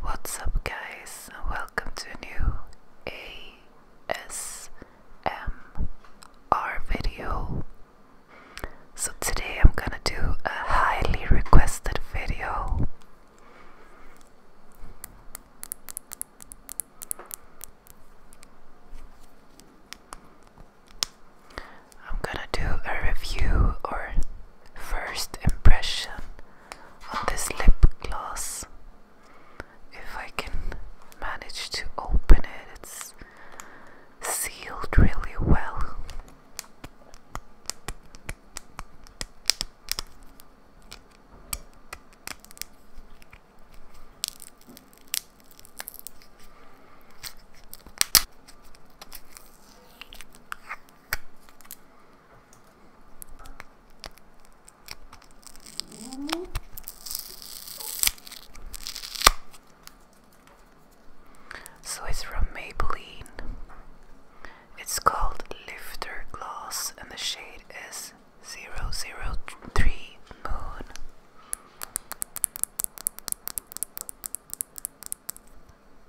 What's up, guys, and welcome to a new ASMR video. So, today I'm gonna do a highly requested video. I'm gonna do a review or first impression on this lip gloss. If I can manage to open it, it's sealed really well. So it's from Maybelline. It's called Lifter Gloss, and the shade is 003 Moon.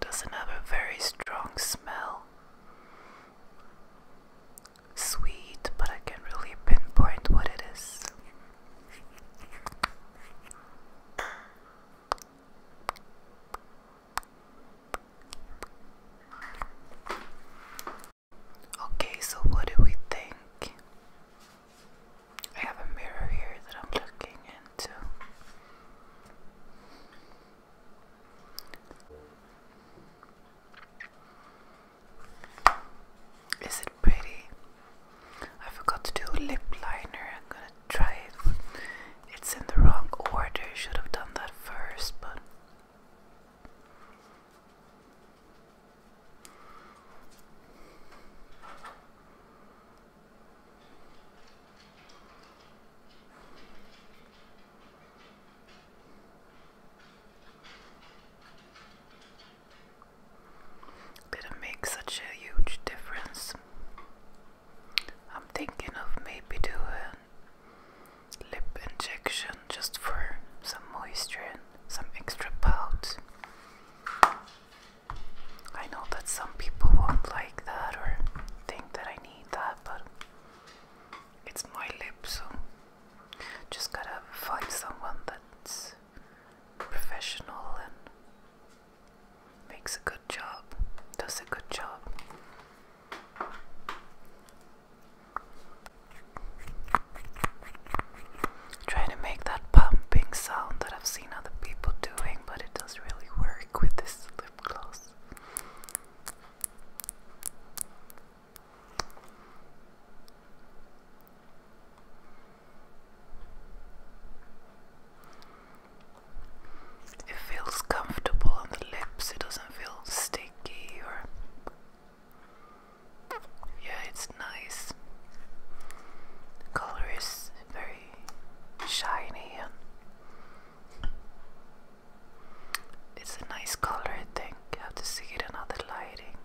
Doesn't have a very strong smell. Sweet, but I can't really pinpoint what it is. Okay, so what do we think? I have a mirror here that I'm looking into. Is it pretty? I forgot to do lip liner. I'm gonna try it. It's in the wrong order. Should have done that first, but didn't make such a huge difference. I'm thinking of maybe doing lip injection just for some moisture and some extra pout I know that some people won't like that or think that I need that, but it's my lip, so just gotta find someone that's professional and makes a good job, does a good job. Trying to make that pumping sound that I've seen other people doing, but it does really work with this lip gloss. It feels comfortable on the lips, it doesn't feel sticky or yeah, it's nice. color is very shiny and it's a nice color I think. have to see it in lighting.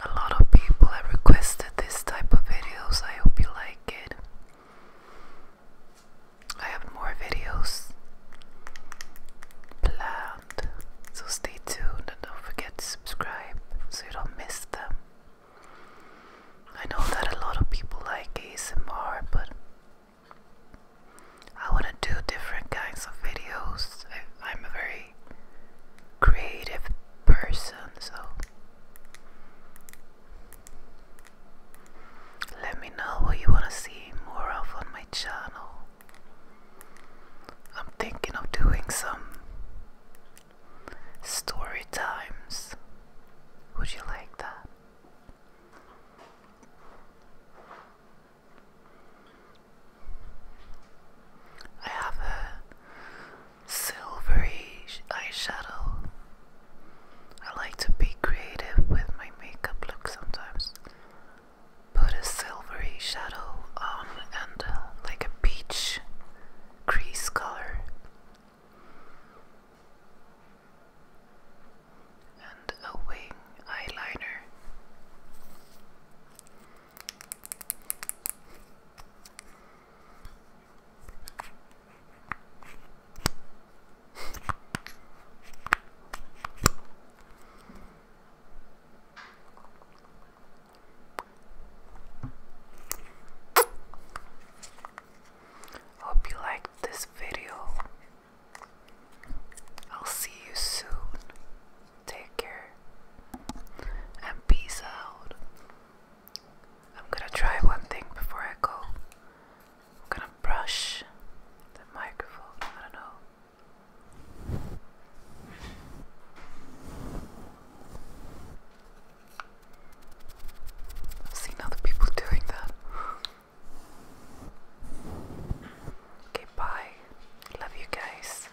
A lot of people have requested this type of videos. I hope you like I have more videos planned, so stay tuned and don't forget to subscribe so you don't miss them. I know that a lot of people like ASMR, but I want to do different kinds of videos. I'm a very creative person, so let me know what you want to see more of on my channel. I'm thinking of doing some story times. Would you like that? I have silvery eyeshadow. I like to be creative with my makeup look sometimes. Put a silvery shadow on and uh, like a peach crease color. And a wing eyeliner. Hope you liked this video. I'll see you soon. Take care and peace out. I'm gonna try one thing before I go. I'm gonna brush the microphone. I don't know. I've seen other people doing that. Okay, bye. Love you guys.